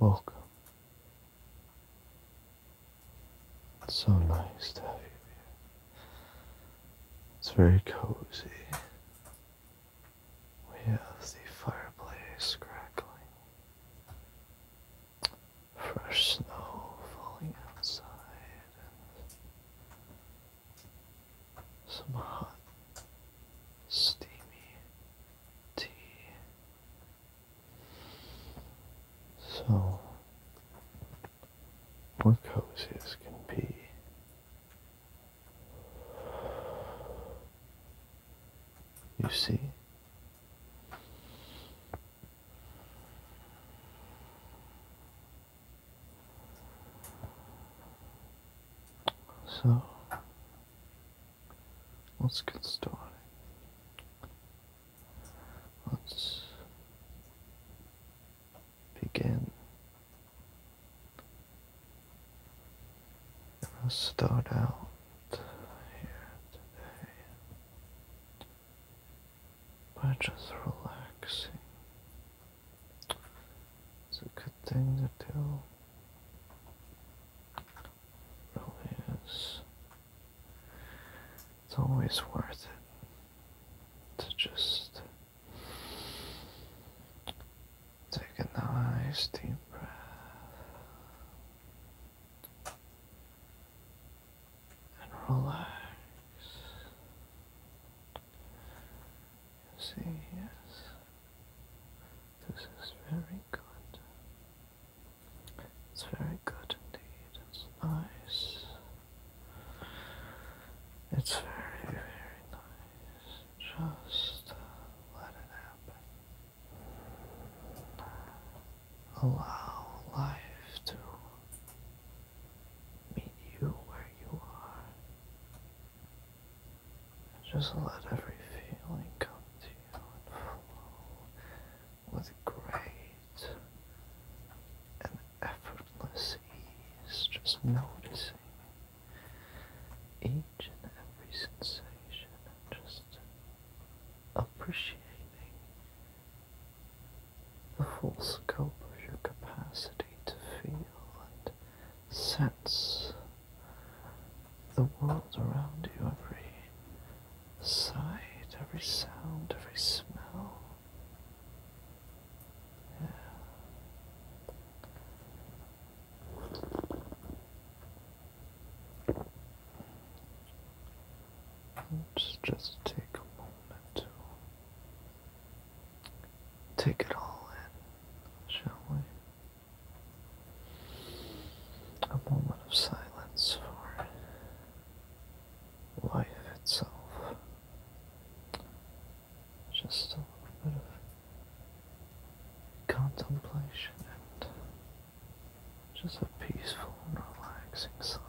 Welcome. It's so nice to have you here. It's very cozy. We have the fireplace crackling, fresh snow falling outside, and some hot, steamy tea. So, or cozy as can be. You see? So, let's get started. Let's begin. And I'll start out here by just relaxing. It's a good thing to do. Really is. It's always worth it to just take a nice deep breath and relax. see, yes, this is very good. It's very good indeed. It's nice. It's very, very nice. Just let it happen. Allow life to meet you where you are. Just let every feeling come to you and flow with grace effortless ease, just noticing each and every sensation and just appreciating the full scope of your capacity to feel and sense the world around you, every sight, every sound, every smell, let just take a moment to take it all in, shall we? A moment of silence for life itself. Just a bit of contemplation and just a peaceful relaxing silence.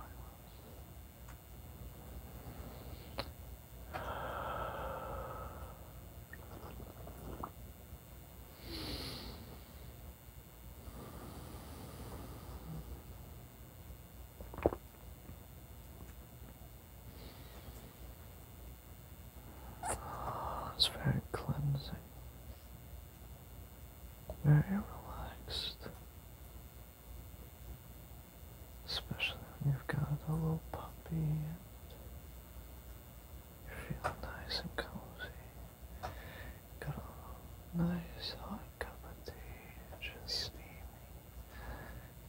It's very cleansing, very relaxed, especially when you've got a little puppy and you're feeling nice and cozy. Got a nice hot cup of tea, just steaming.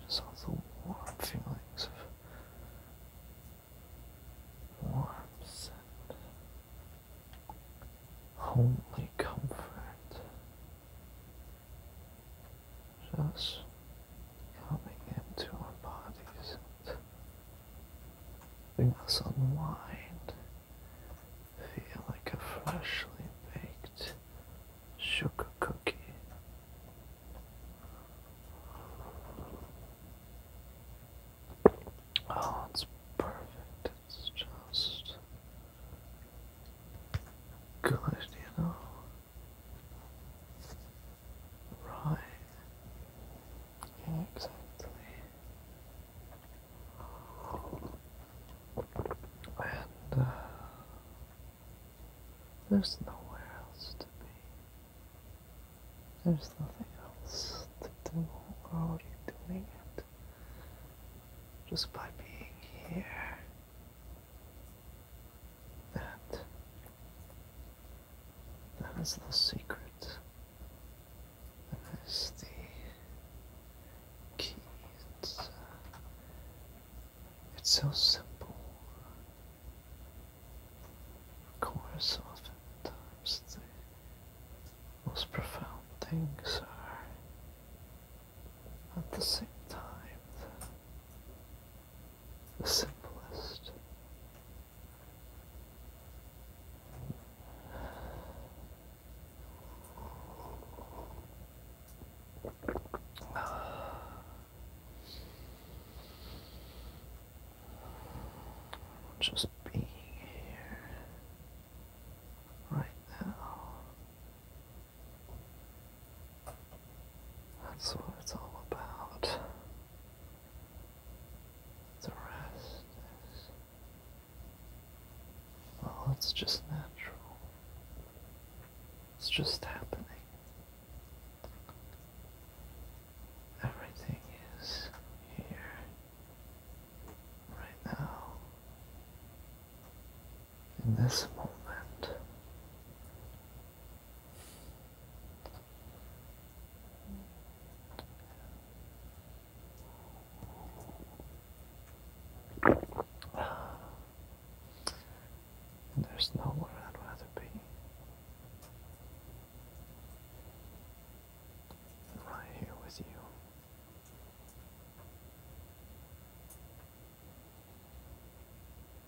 Just all the warm feelings of warmth and homely comfort. Just coming into our bodies Bring us unwind. Feel like a freshly baked sugar cookie. Oh, it's perfect. It's just good, you know? Right. exactly. And uh, there's nowhere else to be. There's nothing else to do. We're already doing it. Just by being here. And that is the secret. That is the key. It's, uh, it's so simple. Of course, oftentimes the most profound things are at the same time the simplest. Just being here right now. That's what it's all about. The rest Well, it's just natural. It's just happening. Everything is here right now. In this moment there's nowhere I'd rather be. Right here with you.